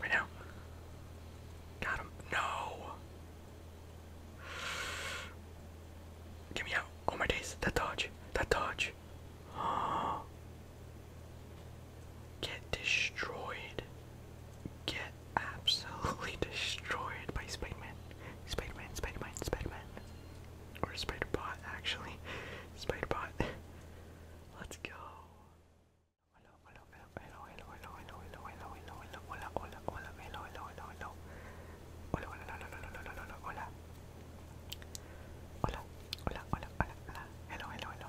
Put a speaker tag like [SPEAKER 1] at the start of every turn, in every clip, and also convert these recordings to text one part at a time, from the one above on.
[SPEAKER 1] Right now. Got him. No. Get me out. Oh my days. That dodge. That dodge. Oh. get destroyed. Get absolutely destroyed by Spider-Man. Spider-Man, Spider-Man, Spider-Man. Or Spider-Bot, actually. Spider-Bot. Let's go. Hello, hello, hello, hello, hello, hello, hello, hello, hello, hello, hola, hola, hola, hello, hello, hello, hello. Hola, hola, hola, hola, hola, hola, hola. Hola, hola, hola, hola, hola. Hello, hello,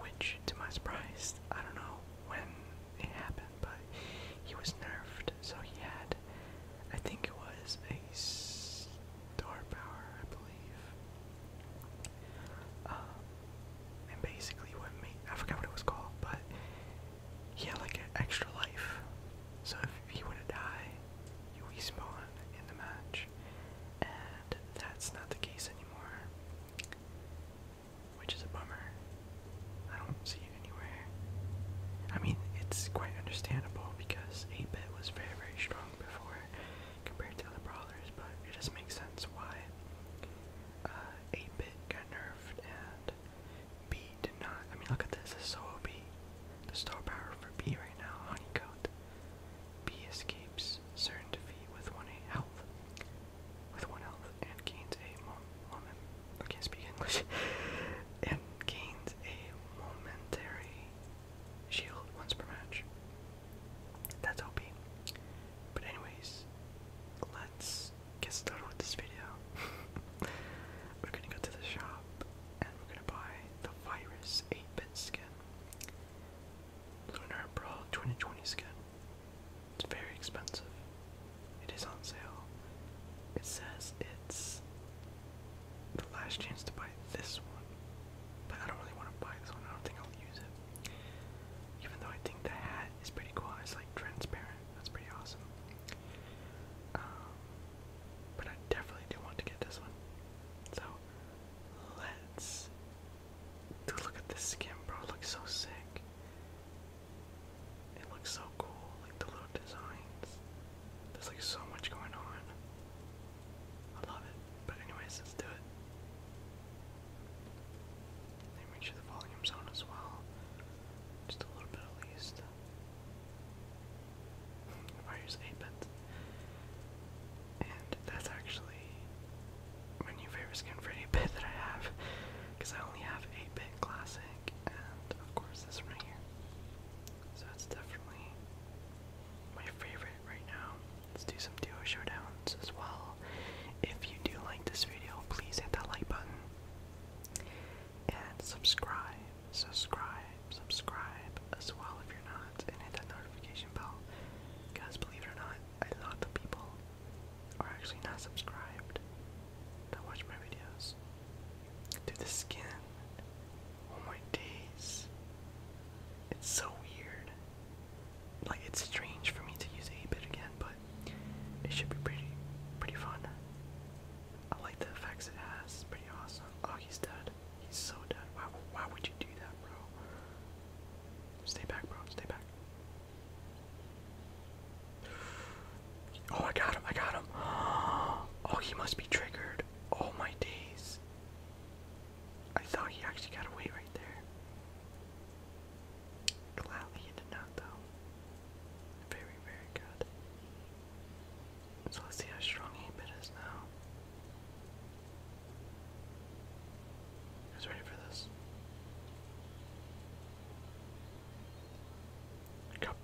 [SPEAKER 1] which, to my surprise, I don't know when it happened, but he was nerfed, so he had, I think it was a star power, I believe. Um, and basically, what made I forgot what it was called, but he had like an extra life. So if he were to die, you respawn in the match and that's not the case anymore, which is a bummer. I don't see it anywhere. I mean, it's quite understandable because 8-bit was very, very strong before compared to other brawlers, but it just make sense why 8-bit uh, got nerfed and B did not. I mean, look at this, this is so OP. The star power for B right now, honeycomb. B escapes certain defeat with one health, with one health, and gains a moment. I can't speak English. and gains a momentary shield once per match. That's OP. But anyways, let's get started with this video. we're gonna go to the shop and we're gonna buy the virus 8-bit skin. Lunar Pro 2020 skin. It's very expensive. It is on sale. It says it's the last chance to buy this one. But I don't really want to buy this one. I don't think I'll use it. Even though I think the hat is pretty cool. It's like transparent. That's pretty awesome. Um, but I definitely do want to get this one. So let's Dude, look at this skin, bro. It looks so sick. It looks so cool, like the little designs. There's like so much going on. I love it. But anyways, let's do it. make sure the volume's on as well. Just a little bit at least. If I use 8 bits. And that's actually my new favorite skin for any bit that I have, because I only have 8-bit classic, and of course this one right here. So it's definitely my favorite right now. Let's do some duo showdowns as well. If you do like this video, please hit that like button and subscribe, subscribe, subscribe as well if you're not, and hit that notification bell. Because believe it or not, a lot of people are actually not subscribed to watch my videos. Dude, the skin. Oh my days. It's so weird. Like it's strange for me to use A bit again, but it should be pretty pretty fun. I like the effects it has. pretty awesome. Oh, he's dead. He's so dead. Why, why would you do that, bro? Stay back, bro. Stay back. Oh, I got him. I got him. Oh, he must be triggered. Oh, my days. I thought he actually got away right there. Gladly he did not, though. Very, very good. So let's see how strong he is now. I ready for this. Kabam.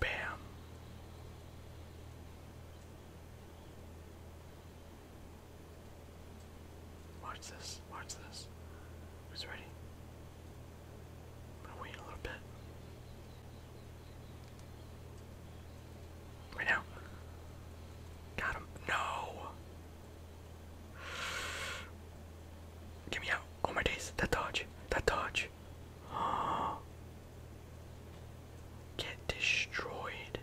[SPEAKER 1] Watch this, watch this. Who's ready? I'm going a little bit. Right now. Got him. No! Get me out. Oh my days. That dodge. That dodge. Get destroyed.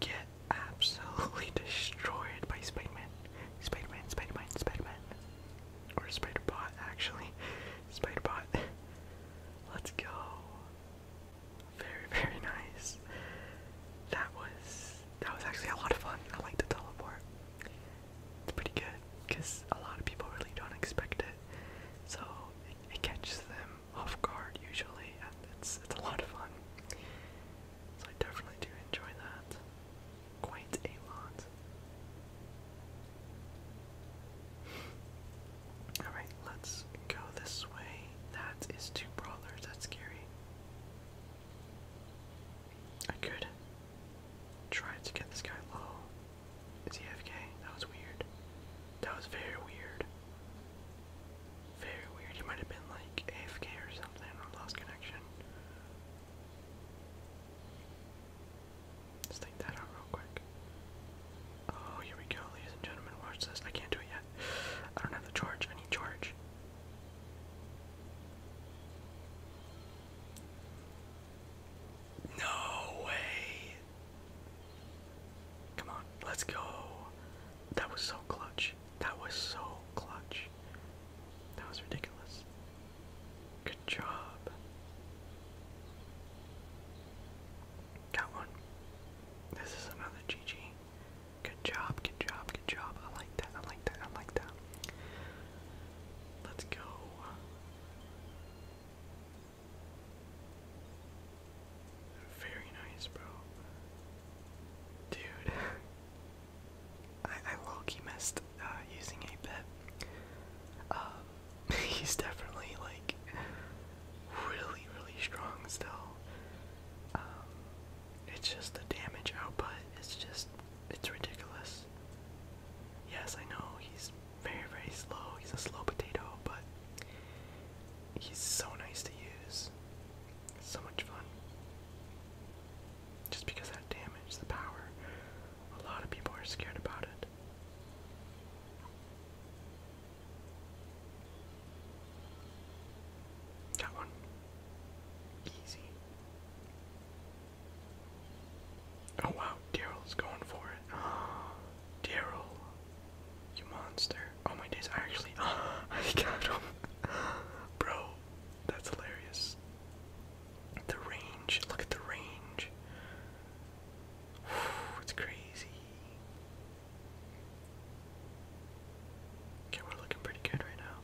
[SPEAKER 1] Get absolutely destroyed by Spider Man. Spider Man, Spider Man, Spider Man. Or Spider Bot, actually. Spider Bot. Let's go. Very, very nice. That was that was actually a lot of fun. I like to teleport. It's pretty good because a lot of people really don't expect it, so it, it catches them off guard usually, and it's it's a lot of fun. So I definitely do enjoy that quite a lot. Alright, let's go this way. That is two brawlers, that's scary. I could try to get this guy low. Is he FK? That was weird. That was very weird. Very weird. He might have been like AFK or something or lost connection. Let's take that out real quick. Oh, here we go, ladies and gentlemen. Watch this. I can't do it yet. I don't have the charge. I need charge. No way. Come on, let's go. That was so clutch. That was so clutch. That was ridiculous. Good job. Got one. This is another GG. Good job, good job, good job. I like that, I like that, I like that. Let's go. Very nice, bro. Dude, I, I low-key missed uh, using a bit. Um, he's definitely like really, really strong still. Um, it's just the damage output It's just, it's ridiculous. Yes, I know he's very, very slow. He's a slow potato, but he's so nice to use. so much fun. Just because that damage, the power, a lot of people are scared about it. That one. Easy. Oh wow, Daryl's going for it. Daryl, you monster. Oh my days, I actually, oh, I got him. Bro, that's hilarious. The range, look at the range. it's crazy. Okay, we're looking pretty good right now.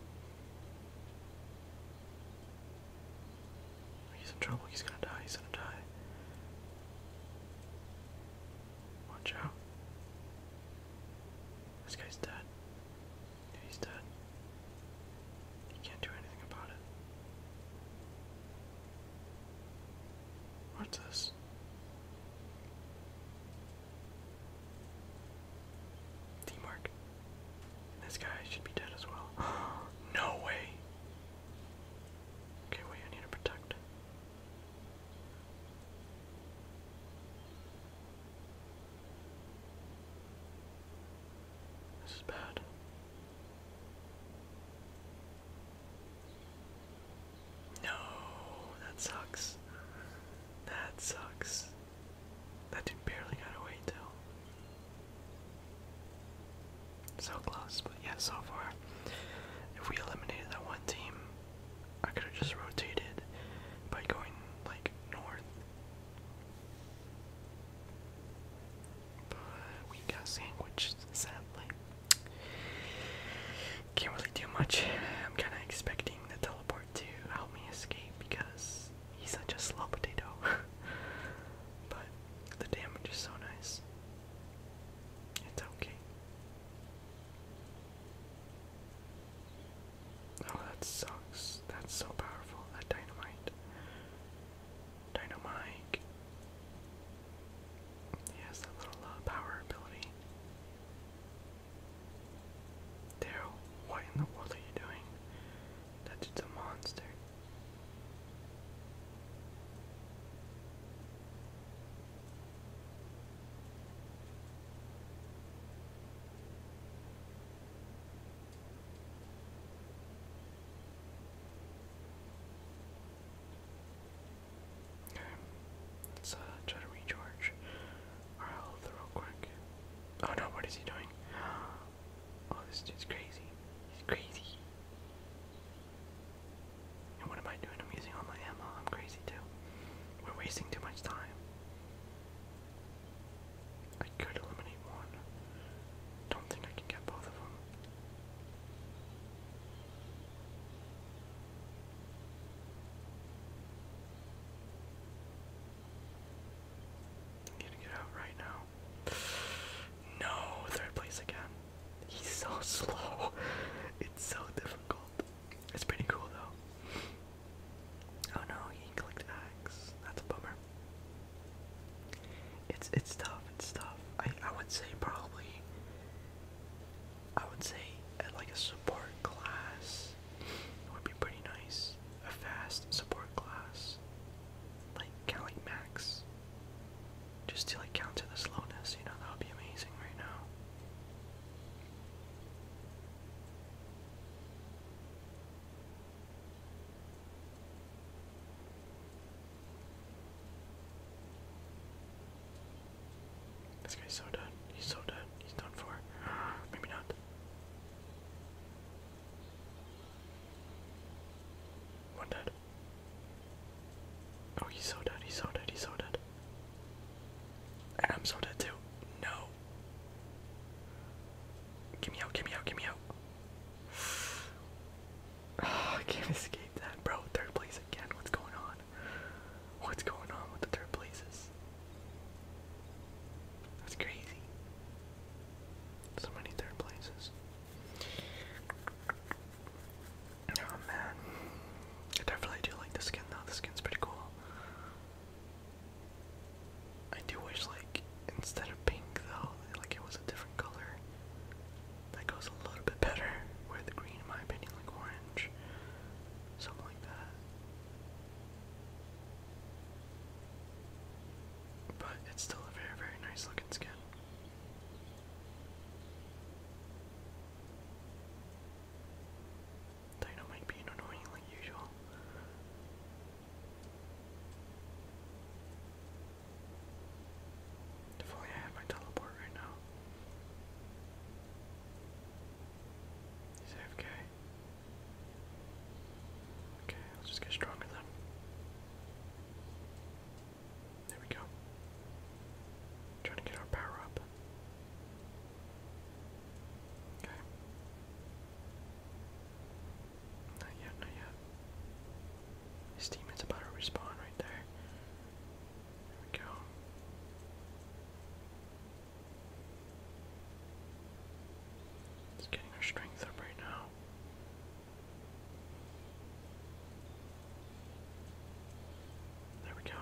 [SPEAKER 1] He's in trouble, he's gonna die, he's gonna die. Watch out. This guy's dead. Yeah, he's dead. You can't do anything about it. What's this? Teamwork. this guy should be dead as well. no way. Okay, wait, I need to protect. This is bad. No, that sucks. That sucks. That dude barely got away till. So close, but yeah, so far. If we eliminated that one team, I could have just rotated by going like north. But we got sandwiched, sadly. Can't really do much. I'm kind of expecting the teleport to help me escape because he's such a slow potato. but the damage is so nice. It's okay. Oh, that sucks. That's so powerful. That dynamite. Dynamite. He has that little uh, power ability. Daryl, what in the world are you doing? That dude's a monster. Okay. Let's uh, try to recharge our health real quick. Oh no, what is he doing? Oh, this dude's crazy. He's crazy. And what am I doing? I'm using all my ammo. I'm crazy too. We're wasting too much time. I could eliminate one. Don't think I can get both of them. I'm gonna get out right now. No, third place again. He's so slow. It's so difficult. It's pretty cool though. Oh no, he clicked X. That's a bummer. It's it's tough. It's tough. I I would say probably I would say like a support class would be pretty nice. A fast support class. Like count like max. Just to like counter the slowness, you know, that would be amazing right now. This guy's so done. He's so done. He's done for. Maybe not. One dead. Oh, he's so dead. He's so dead. He's so dead. I'm so dead too. No. Give me out. Give me out. Give me out. Oh, can't escape that, bro. Third place again. What's going on? What's going on with the third places? That's crazy. So many third places. Oh man. I definitely do like the skin though. The skin's pretty cool. I do wish like instead of pink though, like it was a different color. That goes a little bit better with green in my opinion, like orange. Something like that. But it's still a very, very nice looking skin. Dino might be annoying like usual. If only I had my teleport right now. He's Okay, let's just get stronger then. There we go. Trying to get our power up. Okay. Not yet, not yet. His teammate's about to respawn right there. There we go. It's getting our strength up right now. There we go.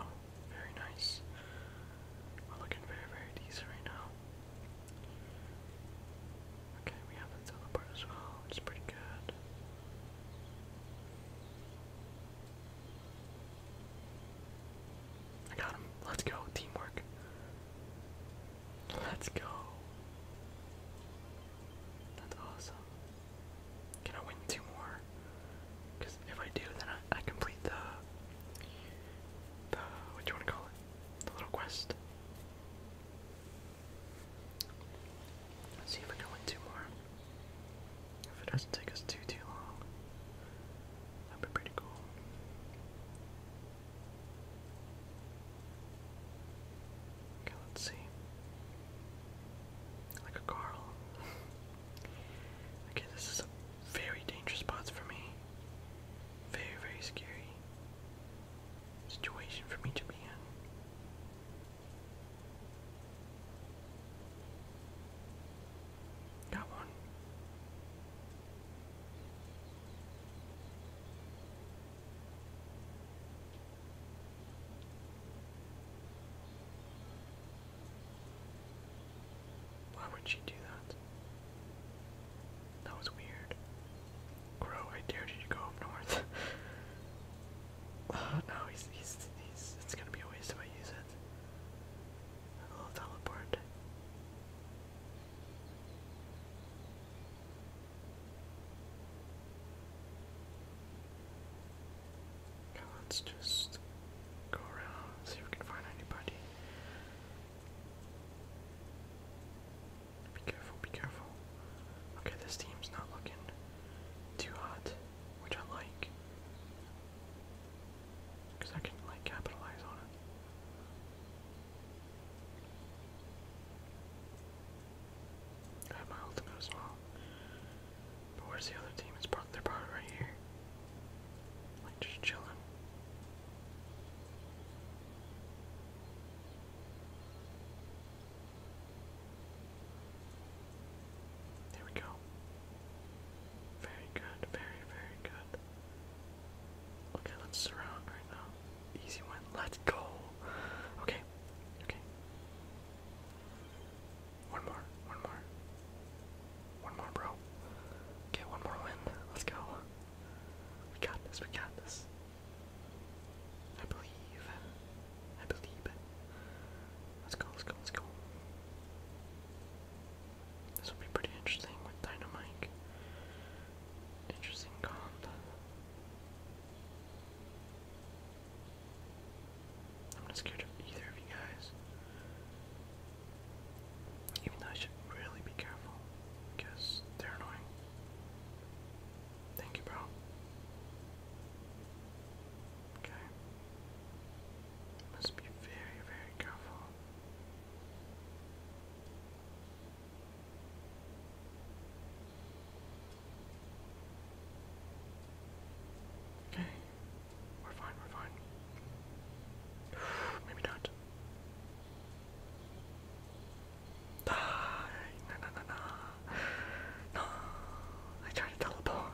[SPEAKER 1] Very nice. We're looking very, very decent right now. Okay, we have the teleport as well, which pretty good. I got him. Let's go. Teamwork. Let's go. That's awesome. Can I win two more? Because if I do, then I, complete the, the, what do you want to call it? The little quest. see if I can win two more. If it doesn't take us too too long, that'd be pretty cool. Okay, let's see. Like a Carl. okay, this is very dangerous spot for me. Very, very scary situation for me to be in. Come on. Why would she do that? That was weird. Crow, I dared you to go up north. Uh, no, he's, he's, he's, it's gonna be a waste if I use it. A little teleport. Now let's just go around, see if we can find anybody. Be careful, be careful. Okay, this team's not looking too hot, which I like. Because I can, like, capitalize on it. I have my ultimate as well. But where's the other team? It's parked, they right here. Like, just chilling. There we go. Very good, very, very good. Okay, let's surround right now. Easy one. Let's go. Okay, okay. One more, one more. One more, bro. Okay, one more win. Let's go. We got this, we got this. I believe. I believe. Let's go, let's go, let's go. This will be pretty interesting with Dynamite. Interesting I'm not scared of either of you guys. Even though I should really be careful, because they're annoying. Thank you, bro. Okay. Must be very, very careful. Okay, we're fine, we're fine. Maybe not. Die! No, no, no, no. No! I tried to teleport.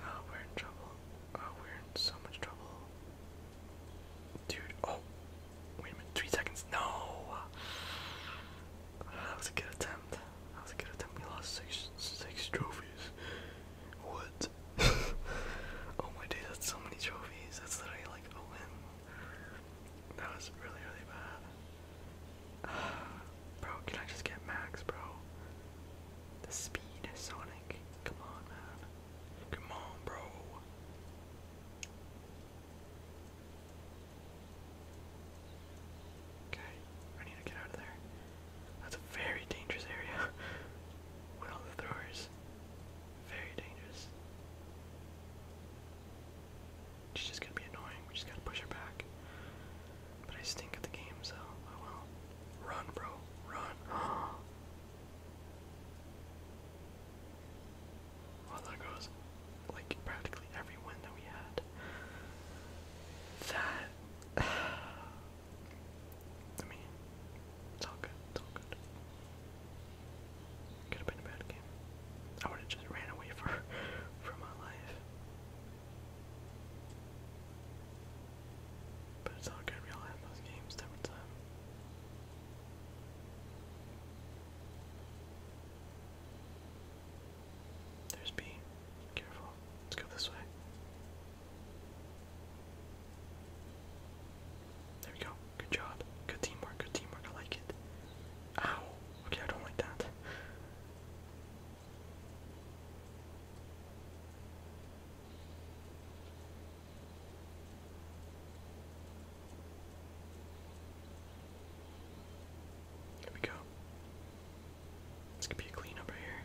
[SPEAKER 1] Oh, we're in trouble. Oh, we're in so much trouble. Dude, oh. Wait a minute, three seconds. No! That was a good attempt. That was a good attempt. We lost six, six trophies. What? oh my day, that's so many trophies. That's literally like a win. That was really, really bad. bro, can I just get Max, bro? The speed is Sonic. Come on, man. Come on, bro. Okay, I need to get out of there. That's a very dangerous area. With all the throwers. Very dangerous. She's just gonna be annoying. We just gotta push her back. But I stink at the game, so oh well. Run, bro. Run. well, that goes like practically every win that we had. That. I mean, it's all good. It's all good. Could have been a bad game. I would have just ran away for, for my life. But it's all good, we all have those games time time. There's B. Careful. Let's go this way. There we go. Good job. Good teamwork. Good teamwork. I like it. Ow. Okay, I don't like that. There we go. This could be a clean over here.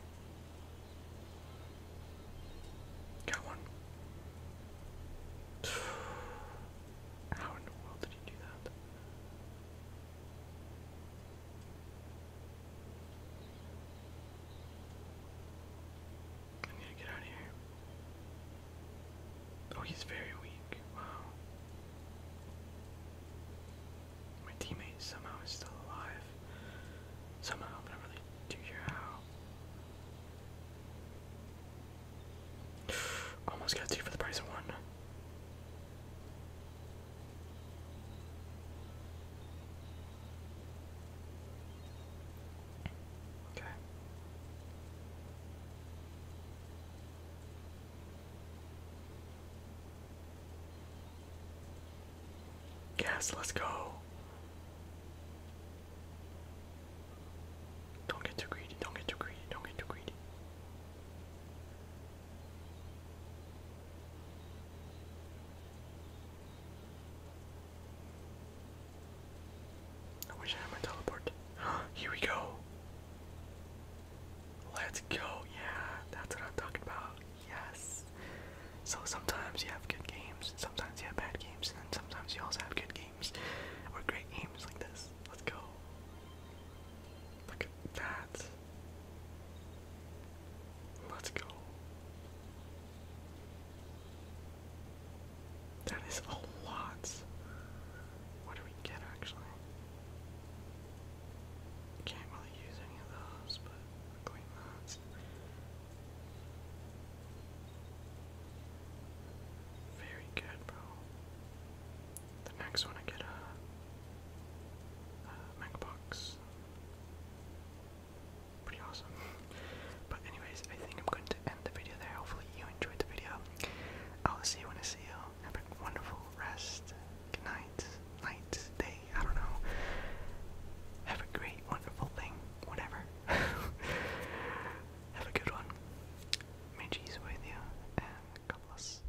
[SPEAKER 1] Got one. How in the world did he do that? I need to get out of here. Oh, he's very weak. Wow. My teammate somehow is still alive. Somehow, but I really do hear how. Almost got two for the price of one. Okay. Yes, let's go. Don't get too greedy, don't get too greedy, don't get too greedy. I wish I had my teleport. Here we go. Let's go. Yeah, that's what I'm talking about. Yes. So sometimes you have good games, and sometimes you have bad games, and sometimes you also have good games or great games like this. Let's go. Look at that. Let's go. That is a lot. What do we get actually? Can't really use any of those, but we Very good, bro. The next one I get a, a mega box. Pretty awesome. But anyways, I think I'm going to end the video there. Hopefully you enjoyed the video. I'll see you when I see you. Have a wonderful rest. Good night. Night. Day. I don't know. Have a great, wonderful thing. Whatever. Have a good one. May Jesus with you and God bless.